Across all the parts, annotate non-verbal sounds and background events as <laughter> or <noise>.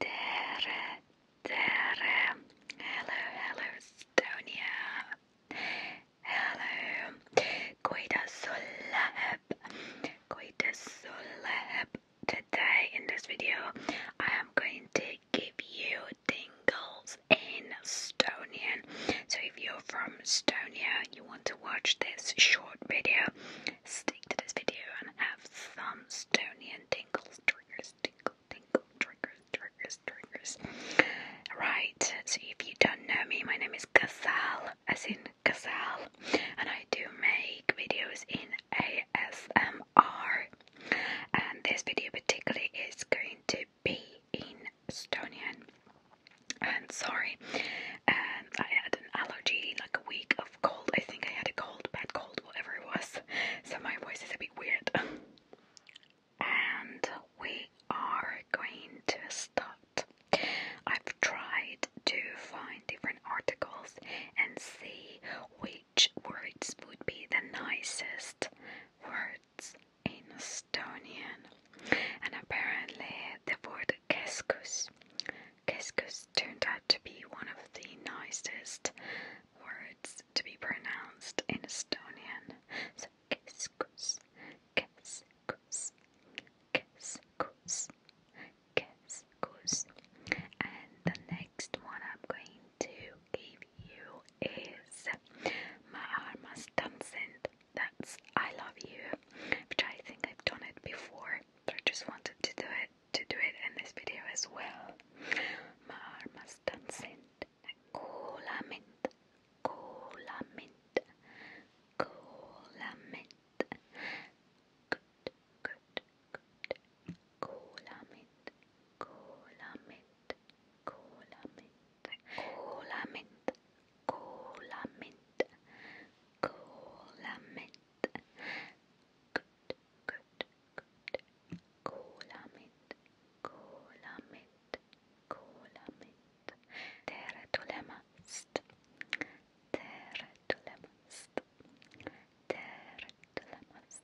Tere, tere. Hello, hello, Estonia. Hello. Kuidas läheb? Kuidas läheb? Today in this video, I am going to give you tingles in Estonian. So if you're from Estonia, you want to watch this short video, Stick to this video and have some Stonian tingles, triggers, tingle, tingle, triggers, triggers, triggers. Right, so if you don't know me, my name is Gazelle, as in Gazelle, and I do make videos in ASMR. And this video particularly is going to be Estonian and sorry and um, I had an allergy like a week of cold I think I had a cold bad cold whatever it was so my voice is a bit weird and we are going to start I've tried to find different articles and see which words would be the nicest words in Estonian, and apparently the word keskus. Keskus turned out to be one of the nicest words to be pronounced in Estonian. So keskus, keskus, keskus, keskus. And the next one I'm going to give you is My Heart Must That's I Love You, which I think I've done it before, I just wanted to do it to do it in this video as well. My Heart Must Dance In. Cola mint, cola mint, Good, good, Kolamit, kolamit, kolamit, kolamit, kolamit, kolamit. Good, good, good. Kolamit, kolamit, kolamit. Tere tulemast, tere tulemast.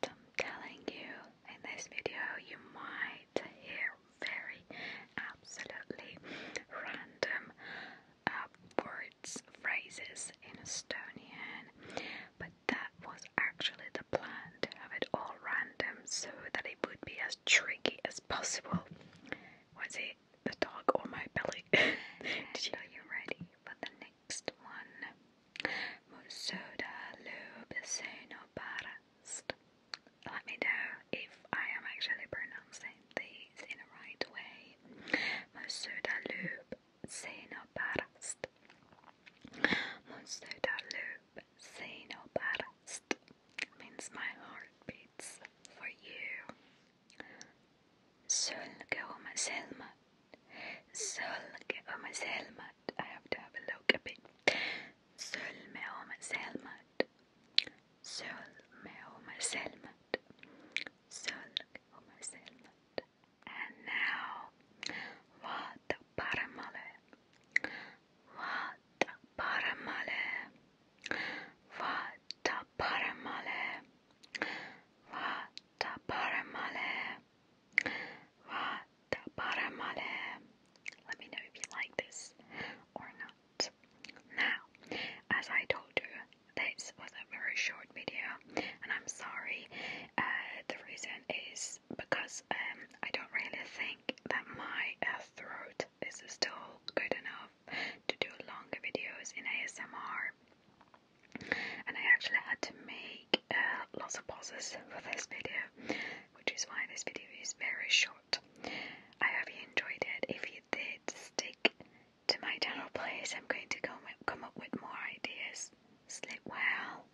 I'm telling you, in this video you might hear very absolutely random words, phrases in Estonian, but that was actually the plan to have it all random so that it would be as tricky as possible. Was it? the dog on my belly. <laughs> <laughs> Did you? Are you ready for the next one? Musoda Lubsenobarast. Let me know if I am actually pronouncing these in the right way. Musoda Lubsenobarast. Musoda Lubsenobarast means my heart beats for you. Sölke och Selma. Sölke och Selma. I have to have a look a bit. Sölme och Selma. Sölme och Selma. Sölke och Selma. And now, what paramale? Vata Paramale Vata Paramale Vata Paramale Vata Paramale Let me know if you like this or not. Now, as I told you, this was a very short video and I'm sorry. Uh, the reason is because um, I don't really think that my throat is still good enough to do longer videos in ASMR. And I actually had to make uh, lots of pauses for this video, which is why this video is very short. I hope you enjoyed it. If you did, stick to my channel, please. I'm going to come, come up with more ideas. Sleep well.